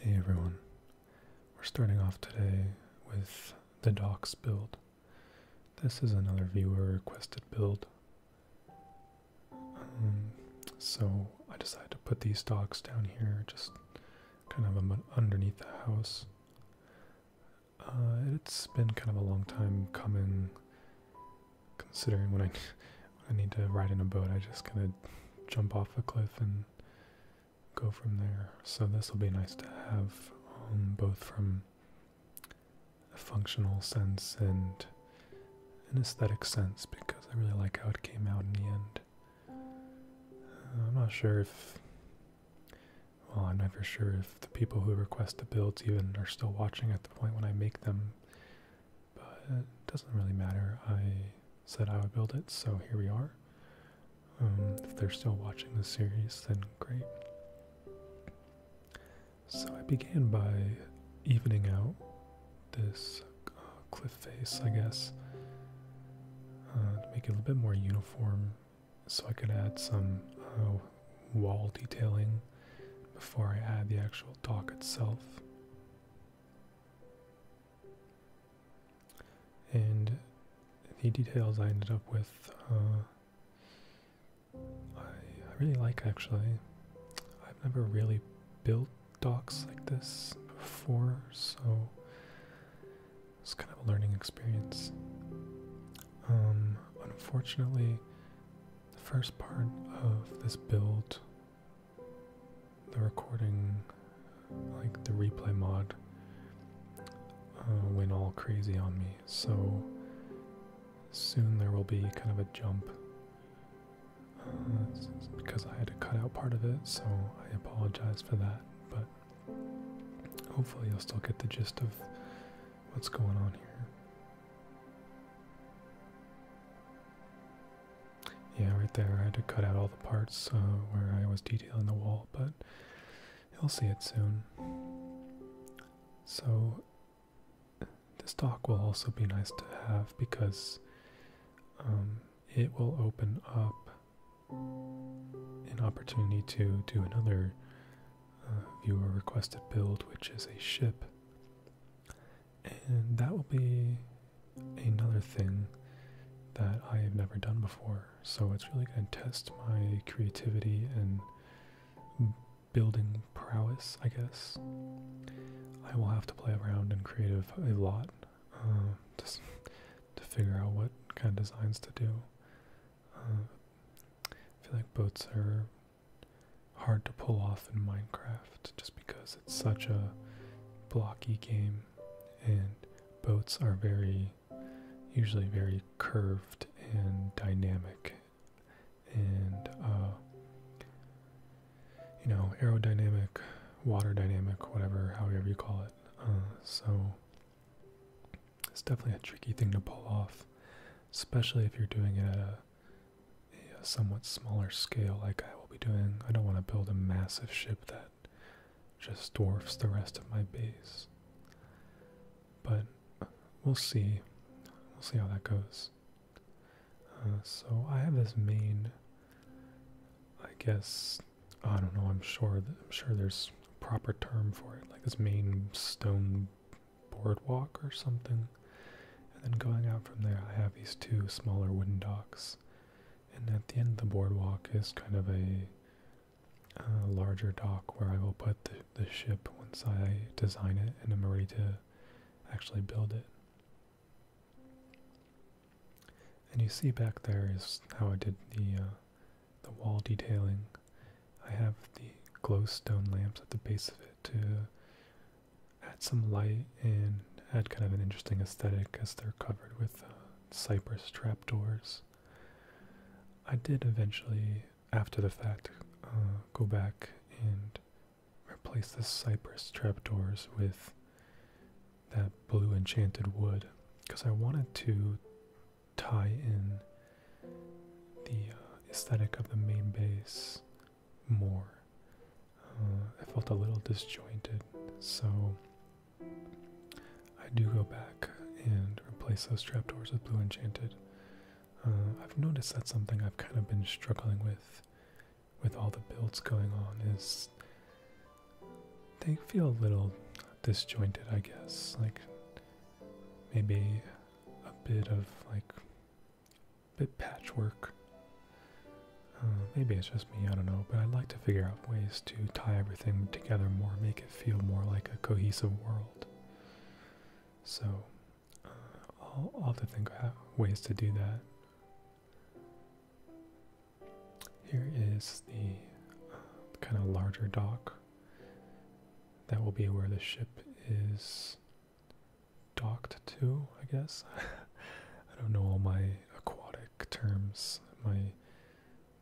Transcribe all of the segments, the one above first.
Hey everyone, we're starting off today with the docs build. This is another viewer requested build. Um, so I decided to put these docks down here, just kind of underneath the house. Uh, it's been kind of a long time coming, considering when I, when I need to ride in a boat, I just kind of jump off a cliff and go from there. So this will be nice to have um, both from a functional sense and an aesthetic sense because I really like how it came out in the end. Uh, I'm not sure if, well, I'm never sure if the people who request the builds even are still watching at the point when I make them, but it doesn't really matter. I said I would build it, so here we are. Um, if they're still watching the series, then great. So I began by evening out this uh, cliff face, I guess, uh, to make it a little bit more uniform so I could add some uh, wall detailing before I add the actual dock itself. And the details I ended up with, I really like actually. I've never really built docks like this before, so it's kind of a learning experience. Um, unfortunately, the first part of this build, the recording, like the replay mod, uh, went all crazy on me, so soon there will be kind of a jump because I had to cut out part of it, so I apologize for that. But hopefully, you'll still get the gist of what's going on here. Yeah, right there, I had to cut out all the parts uh, where I was detailing the wall, but you'll see it soon. So, this dock will also be nice to have because um, it will open up an opportunity to do another uh, viewer requested build, which is a ship. And that will be another thing that I have never done before. So it's really going to test my creativity and building prowess, I guess. I will have to play around and creative a lot just um, to figure out what kind of designs to do. Um, I feel like boats are hard to pull off in Minecraft just because it's such a blocky game and boats are very usually very curved and dynamic and uh, you know aerodynamic, water dynamic, whatever, however you call it. Uh, so it's definitely a tricky thing to pull off, especially if you're doing it at a somewhat smaller scale, like I will be doing. I don't want to build a massive ship that just dwarfs the rest of my base. But we'll see. We'll see how that goes. Uh, so I have this main, I guess, I don't know. I'm sure. I'm sure there's a proper term for it, like this main stone boardwalk or something. And then going out from there, I have these two smaller wooden docks. And at the end of the boardwalk is kind of a uh, larger dock where I will put the, the ship once I design it and I'm ready to actually build it. And you see back there is how I did the, uh, the wall detailing. I have the glowstone lamps at the base of it to add some light and add kind of an interesting aesthetic as they're covered with uh, cypress trapdoors. I did eventually, after the fact, uh, go back and replace the cypress trapdoors with that blue enchanted wood because I wanted to tie in the uh, aesthetic of the main base more. Uh, I felt a little disjointed, so I do go back and replace those trapdoors with blue enchanted uh, I've noticed that something I've kind of been struggling with, with all the builds going on, is they feel a little disjointed, I guess. Like, maybe a bit of, like, a bit patchwork. Uh, maybe it's just me, I don't know, but I'd like to figure out ways to tie everything together more, make it feel more like a cohesive world. So, all I'll, i to think of ways to do that. Here is the uh, kind of larger dock. That will be where the ship is docked to, I guess. I don't know all my aquatic terms, my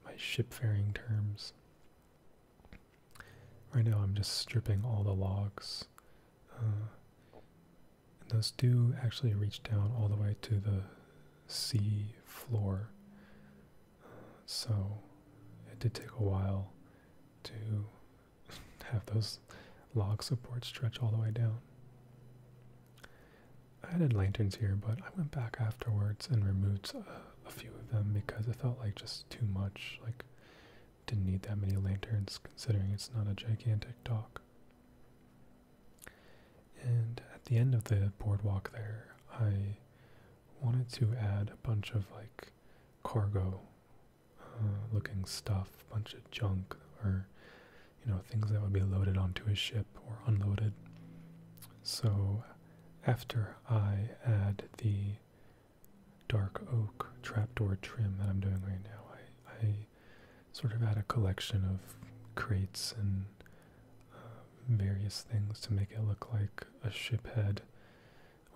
my shipfaring terms. Right now I'm just stripping all the logs. Uh, those do actually reach down all the way to the sea floor. so it did take a while to have those log supports stretch all the way down. I added lanterns here, but I went back afterwards and removed uh, a few of them because it felt like just too much. Like didn't need that many lanterns considering it's not a gigantic dock. And at the end of the boardwalk there, I wanted to add a bunch of like cargo uh, looking stuff, bunch of junk or you know things that would be loaded onto a ship or unloaded. So after I add the dark oak trapdoor trim that I'm doing right now. I, sort of add a collection of crates and uh, various things to make it look like a ship head.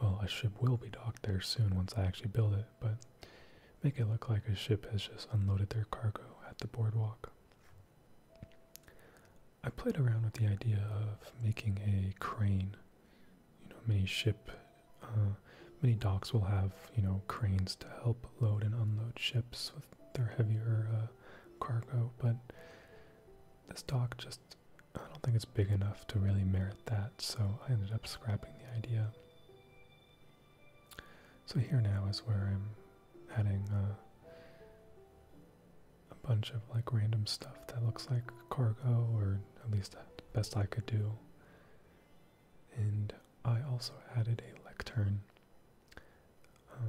Well, a ship will be docked there soon once I actually build it, but make it look like a ship has just unloaded their cargo at the boardwalk. I played around with the idea of making a crane you know many ship uh, many docks will have you know cranes to help load and unload ships with their heavier uh, cargo but this dock just i don't think it's big enough to really merit that so i ended up scrapping the idea so here now is where i'm adding uh, a bunch of like random stuff that looks like cargo or at least that best I could do. And I also added a lectern uh,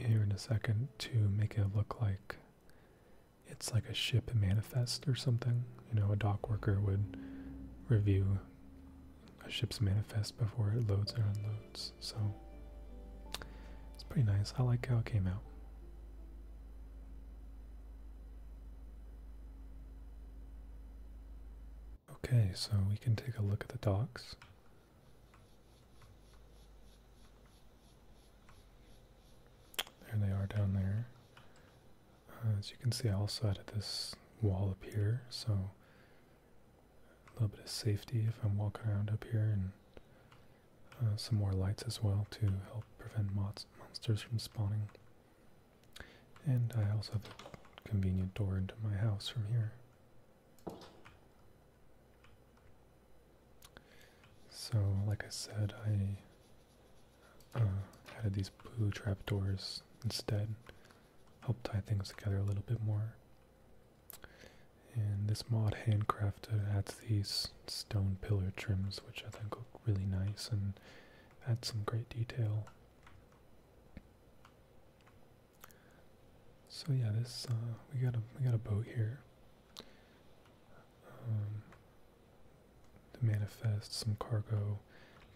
here in a second to make it look like it's like a ship manifest or something. You know, a dock worker would review a ship's manifest before it loads or unloads. So it's pretty nice. I like how it came out. Okay, so we can take a look at the docks. There they are down there. Uh, as you can see, I also added this wall up here, so a little bit of safety if I'm walking around up here and uh, some more lights as well to help prevent monsters from spawning. And I also have a convenient door into my house from here. So, like I said, I uh, added these blue trapdoors instead, help tie things together a little bit more. And this mod handcrafted adds these stone pillar trims, which I think look really nice and add some great detail. So yeah, this uh, we got a we got a boat here. Um, to manifest some cargo,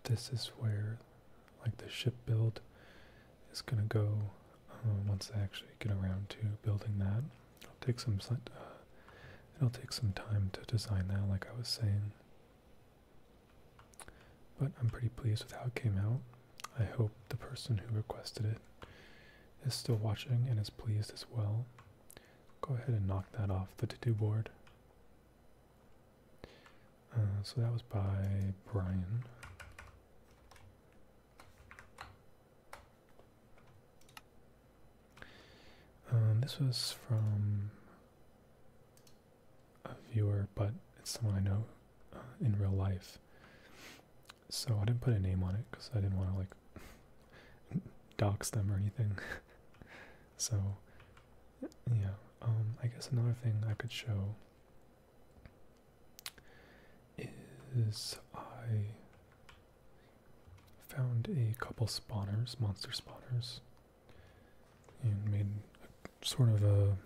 this is where like the ship build is gonna go uh, once I actually get around to building that. I'll take some. Uh, it'll take some time to design that, like I was saying. But I'm pretty pleased with how it came out. I hope the person who requested it is still watching and is pleased as well. Go ahead and knock that off the to-do board. Uh, so that was by Brian. Um, this was from a viewer, but it's someone I know uh, in real life. So I didn't put a name on it because I didn't want to like dox them or anything. so yeah, um, I guess another thing I could show is I Found a couple spawners, monster spawners, and made a, sort of a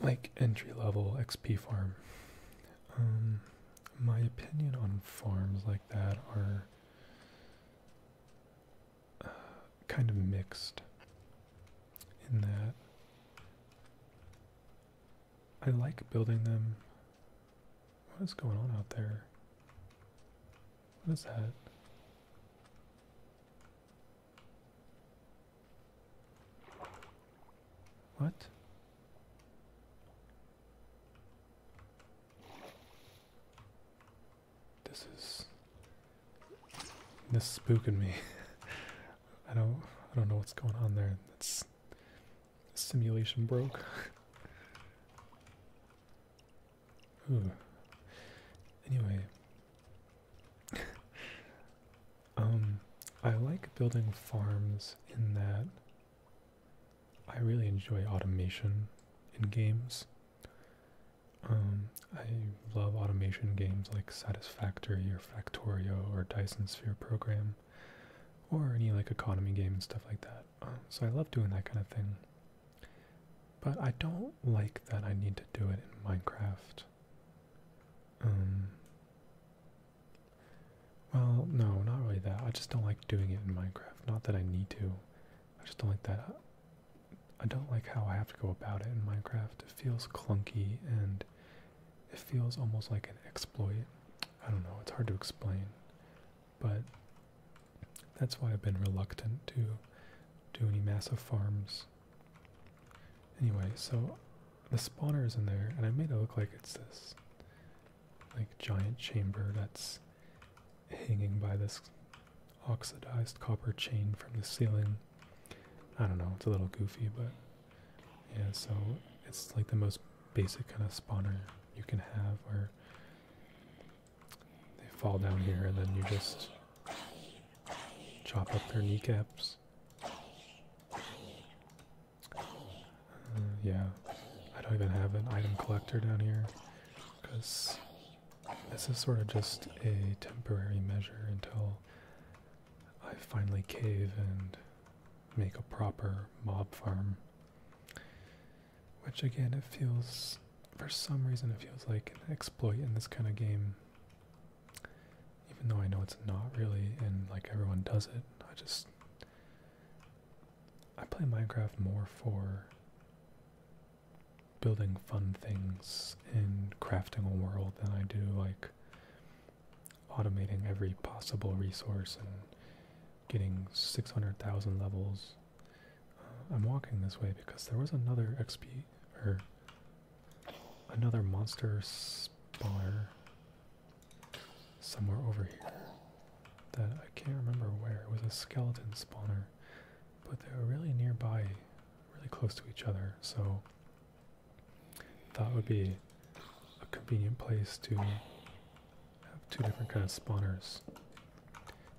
like entry level XP farm. Um, my opinion on farms like that are uh, kind of mixed in that I like building them. What is going on out there? What is that? What? This is this is spooking me. I don't I don't know what's going on there. That's simulation broke. Anyway, um, I like building farms in that I really enjoy automation in games. Um, I love automation games like Satisfactory Factorio or Dyson Sphere program, or any like economy game and stuff like that. Um, so I love doing that kind of thing. But I don't like that I need to do it in Minecraft. Um, well, no, not really that. I just don't like doing it in Minecraft. Not that I need to. I just don't like that. I don't like how I have to go about it in Minecraft. It feels clunky and it feels almost like an exploit. I don't know, it's hard to explain, but that's why I've been reluctant to do any massive farms. Anyway, so the spawner is in there, and I made it look like it's this like giant chamber that's hanging by this oxidized copper chain from the ceiling. I don't know, it's a little goofy, but yeah, so it's like the most basic kind of spawner you can have where they fall down here and then you just chop up their kneecaps. Uh, yeah, I don't even have an item collector down here because this is sort of just a temporary measure until I finally cave and make a proper mob farm. Which again, it feels, for some reason, it feels like an exploit in this kind of game. Even though I know it's not really, and like everyone does it, I just. I play Minecraft more for building fun things and crafting a world than I do like automating every possible resource and getting 600,000 levels. Uh, I'm walking this way because there was another XP or another monster spawner somewhere over here that I can't remember where. It was a skeleton spawner, but they were really nearby, really close to each other, so that would be a convenient place to have two different kind of spawners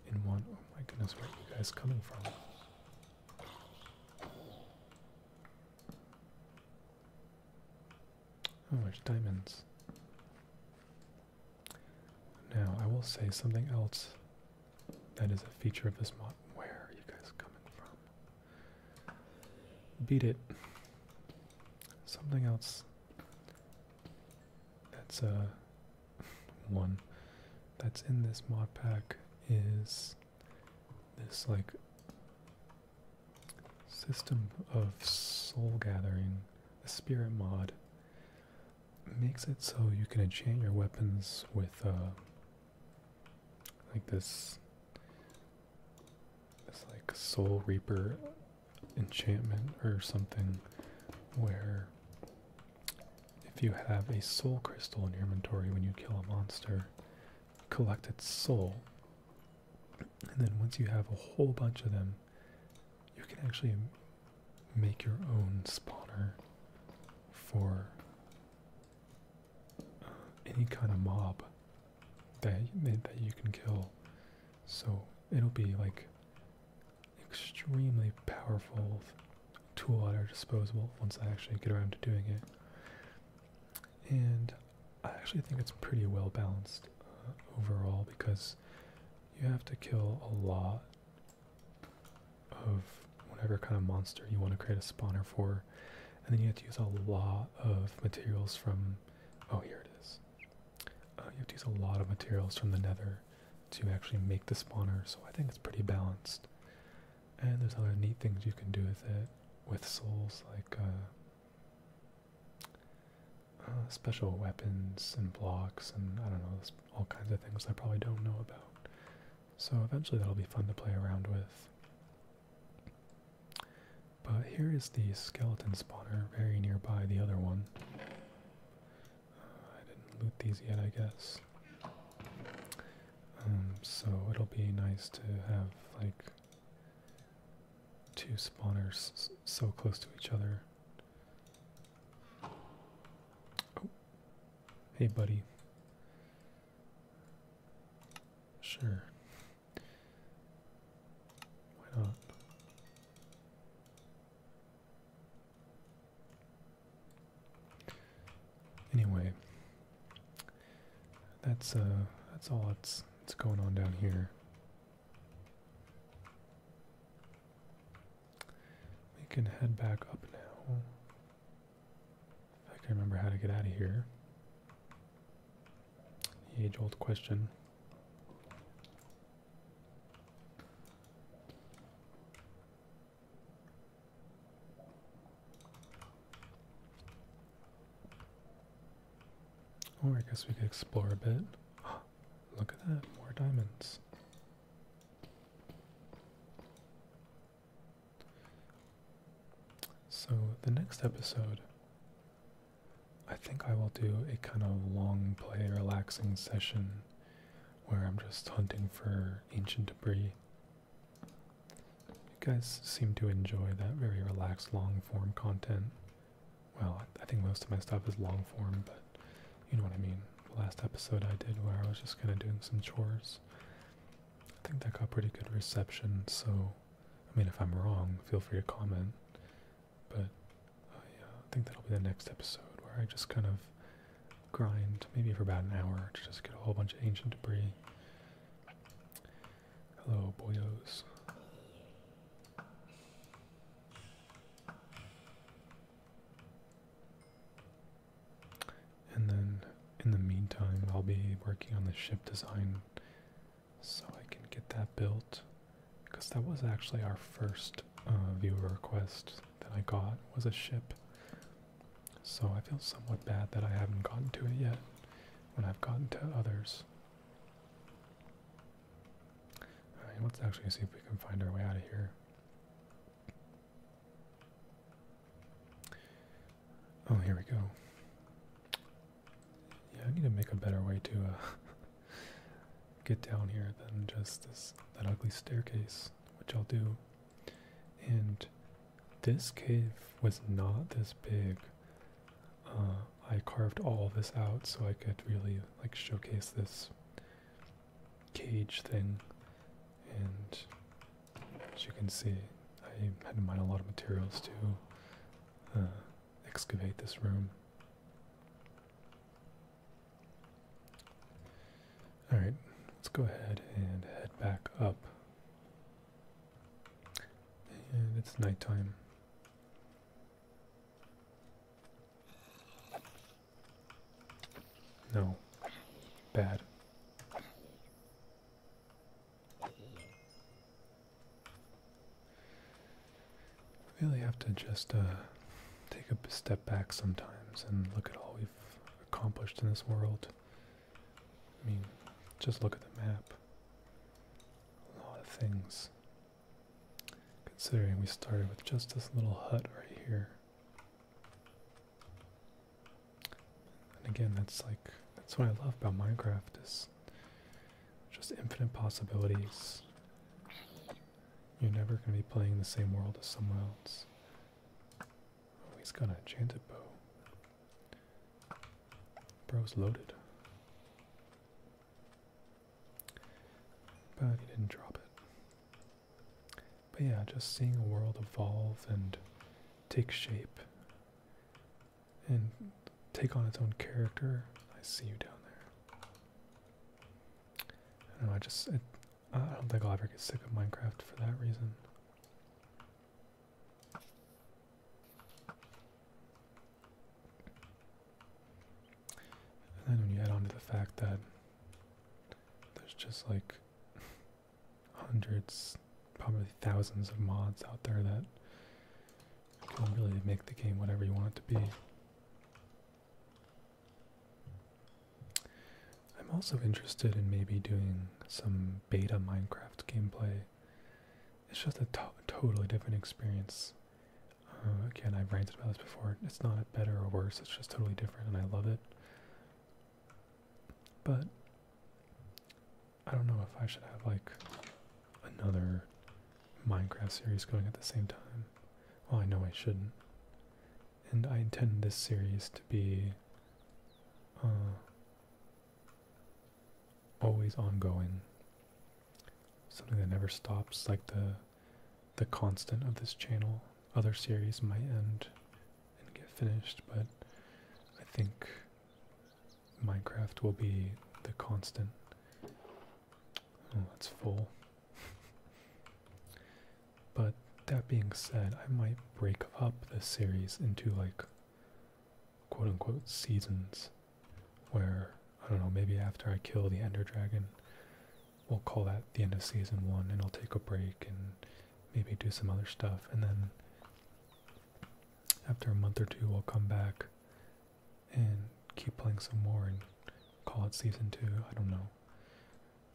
in one. Oh my goodness, where are you guys coming from? Oh, there's diamonds. Now, I will say something else that is a feature of this mod. Where are you guys coming from? Beat it. Something else. That's uh, one. That's in this mod pack is this like system of soul gathering. The spirit mod makes it so you can enchant your weapons with uh, like this, this like Soul Reaper enchantment or something, where if you have a soul crystal in your inventory when you kill a monster, collect its soul. And then once you have a whole bunch of them, you can actually make your own spawner for any kind of mob that that you can kill. So it'll be like extremely powerful tool at our disposal once I actually get around to doing it. And I actually think it's pretty well balanced uh, overall because you have to kill a lot of whatever kind of monster you want to create a spawner for. And then you have to use a lot of materials from, oh, here it is. Uh, you have to use a lot of materials from the nether to actually make the spawner, so I think it's pretty balanced. And there's other neat things you can do with it, with souls, like uh, uh, special weapons and blocks and I don't know, all kinds of things I probably don't know about. So eventually that'll be fun to play around with. But here is the skeleton spawner very nearby the other one. Uh, I didn't loot these yet, I guess. Um, so it'll be nice to have like two spawners so close to each other. Oh. hey buddy. Sure. Why not? Anyway, that's uh that's all that's that's going on down here. We can head back up now. I can not remember how to get out of here. age old question. Or oh, I guess we could explore a bit. Look at that, more diamonds. So, the next episode, I think I will do a kind of long play, relaxing session where I'm just hunting for ancient debris. You guys seem to enjoy that very relaxed, long form content. Well, I think most of my stuff is long form, but you know what I mean. The last episode I did where I was just kind of doing some chores. I think that got pretty good reception, so I mean, if I'm wrong, feel free to comment. But uh, I think that'll be the next episode where I just kind of grind, maybe for about an hour, to just get a whole bunch of ancient debris. Hello, boyos. And then in the meantime, I'll be working on the ship design so I can get that built because that was actually our first uh, viewer request that I got was a ship. So I feel somewhat bad that I haven't gotten to it yet when I've gotten to others. let's actually see if we can find our way out of here. Oh, here we go. Yeah, I need to make a better way to uh, get down here than just this that ugly staircase, which I'll do. And this cave was not this big. Uh, I carved all this out so I could really like showcase this cage thing, and as you can see, I had to mine a lot of materials to uh, excavate this room. Alright, let's go ahead and head back up. And it's nighttime. No. Bad. Really have to just uh, take a step back sometimes and look at all we've accomplished in this world. I mean, just look at the map. A lot of things. Considering we started with just this little hut right here. And again, that's like that's what I love about Minecraft is just infinite possibilities. You're never gonna be playing the same world as someone else. Oh, he's got an enchanted bow. Bro's loaded. But he didn't drop it. But yeah, just seeing a world evolve and take shape and take on its own character. I see you down there. I don't know, I just, I don't think I'll ever get sick of Minecraft for that reason. And then when you add on to the fact that there's just like hundreds, probably thousands of mods out there that can really make the game whatever you want it to be. I'm also interested in maybe doing some beta Minecraft gameplay. It's just a totally different experience. Uh, again, I've ranted about this before. It's not better or worse, it's just totally different, and I love it. But I don't know if I should have like another Minecraft series going at the same time. Well, I know I shouldn't. And I intend this series to be uh, always ongoing. Something that never stops, like the the constant of this channel other series might end and get finished, but I think Minecraft will be the constant. Oh, that's full. but that being said, I might break up this series into like quote unquote seasons where, I don't know, maybe after I kill the Ender Dragon, we'll call that the end of season one and I'll take a break and maybe do some other stuff. And then after a month or two, we'll come back and keep playing some more and call it season two. I don't know.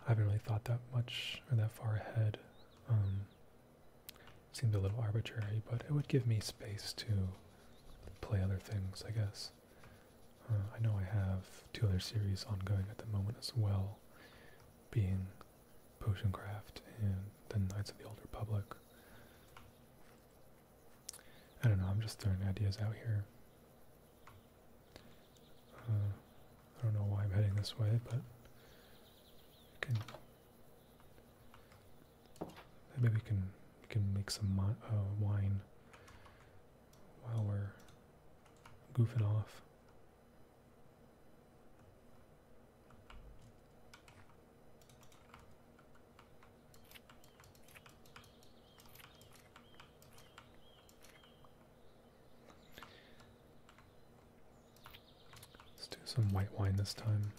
I haven't really thought that much or that far ahead. Um, seemed a little arbitrary, but it would give me space to play other things, I guess. Uh, I know I have two other series ongoing at the moment as well, being Potioncraft and The Knights of the Old Republic. I don't know, I'm just throwing ideas out here. Uh, I don't know why I'm heading this way, but maybe we can we can make some uh, wine while we're goofing off. Let's do some white wine this time.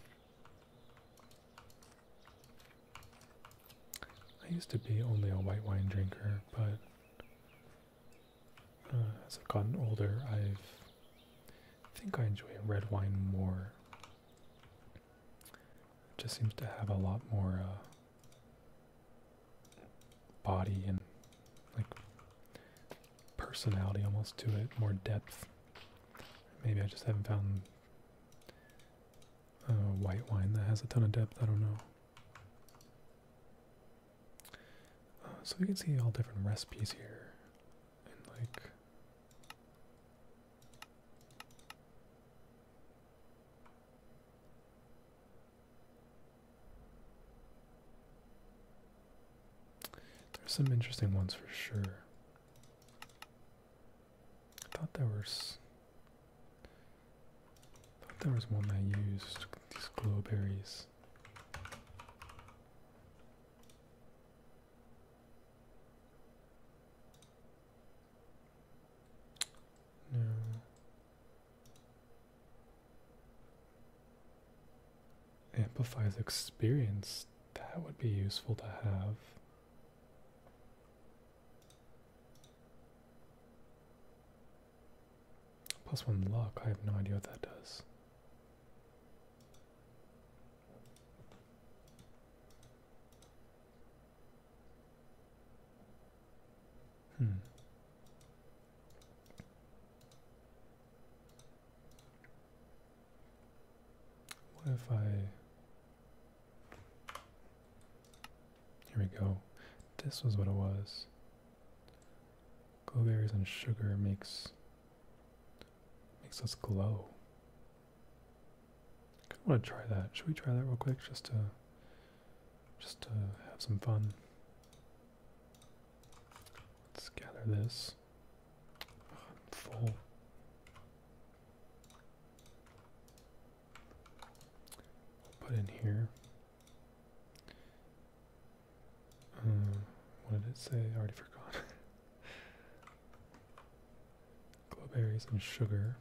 I used to be only a white wine drinker, but uh, as I've gotten older, I've think I enjoy red wine more. It just seems to have a lot more uh, body and like personality almost to it, more depth. Maybe I just haven't found a uh, white wine that has a ton of depth. I don't know. Uh, so we can see all different recipes here, and like. There's some interesting ones for sure. I thought there was there was one I used these glowberries. No. Amplifies experience. That would be useful to have. Plus one luck. I have no idea what that does. Hmm. What if I here we go. This was what it was. Glowberries and sugar makes makes us glow. I kinda wanna try that. Should we try that real quick just to just to have some fun? Let's gather this. I'm full put in here. Um, what did it say? I already forgot. Glowberries and sugar.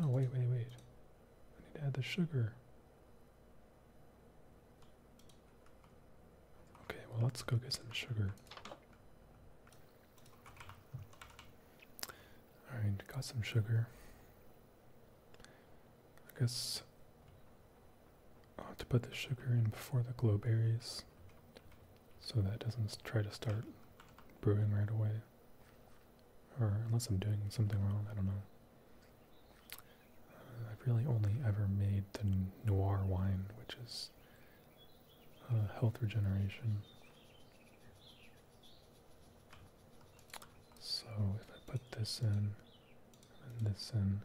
No, wait, wait, wait. I need to add the sugar. Okay, well, let's go get some sugar. All right, got some sugar. I guess I'll have to put the sugar in before the glow berries so that doesn't try to start brewing right away. Or unless I'm doing something wrong, I don't know. Uh, I've really only ever made the noir wine, which is uh, health regeneration. So if I put this in and this in,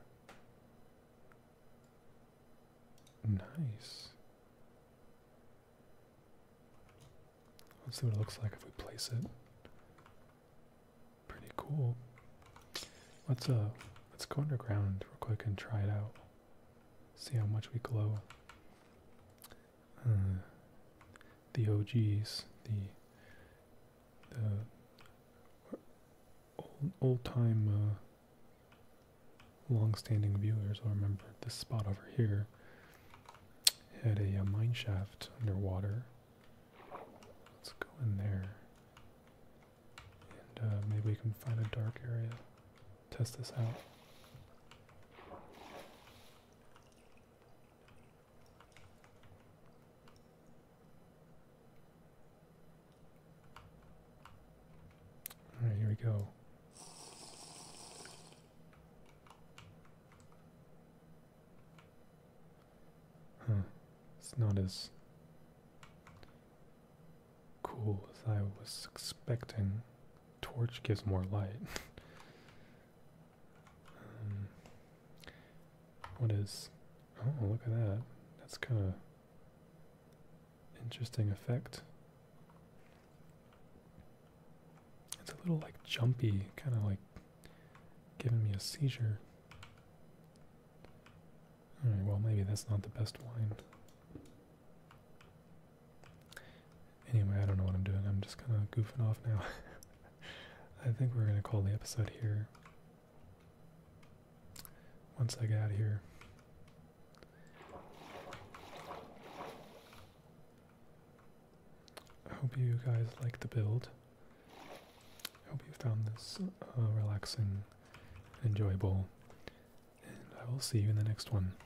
nice. Let's see what it looks like if we place it. Pretty cool. Let's uh let's go underground real quick and try it out. See how much we glow. Uh, the OGs, the old, time uh, long-standing viewers will remember this spot over here had a, mine shaft underwater. Let's go in there. And uh, maybe we can find a dark area. Test this out. All right, here we go. It's not as cool as I was expecting torch gives more light. Um, what is? Oh, look at that. That's kind of interesting effect. It's a little like jumpy, kind of like giving me a seizure. well maybe that's not the best wine. Anyway, I don't know what I'm doing. I'm just kind of goofing off now. I think we're going to call the episode here. Once I get out of here. I hope you guys like the build. I hope you found this uh, relaxing and enjoyable. And I will see you in the next one.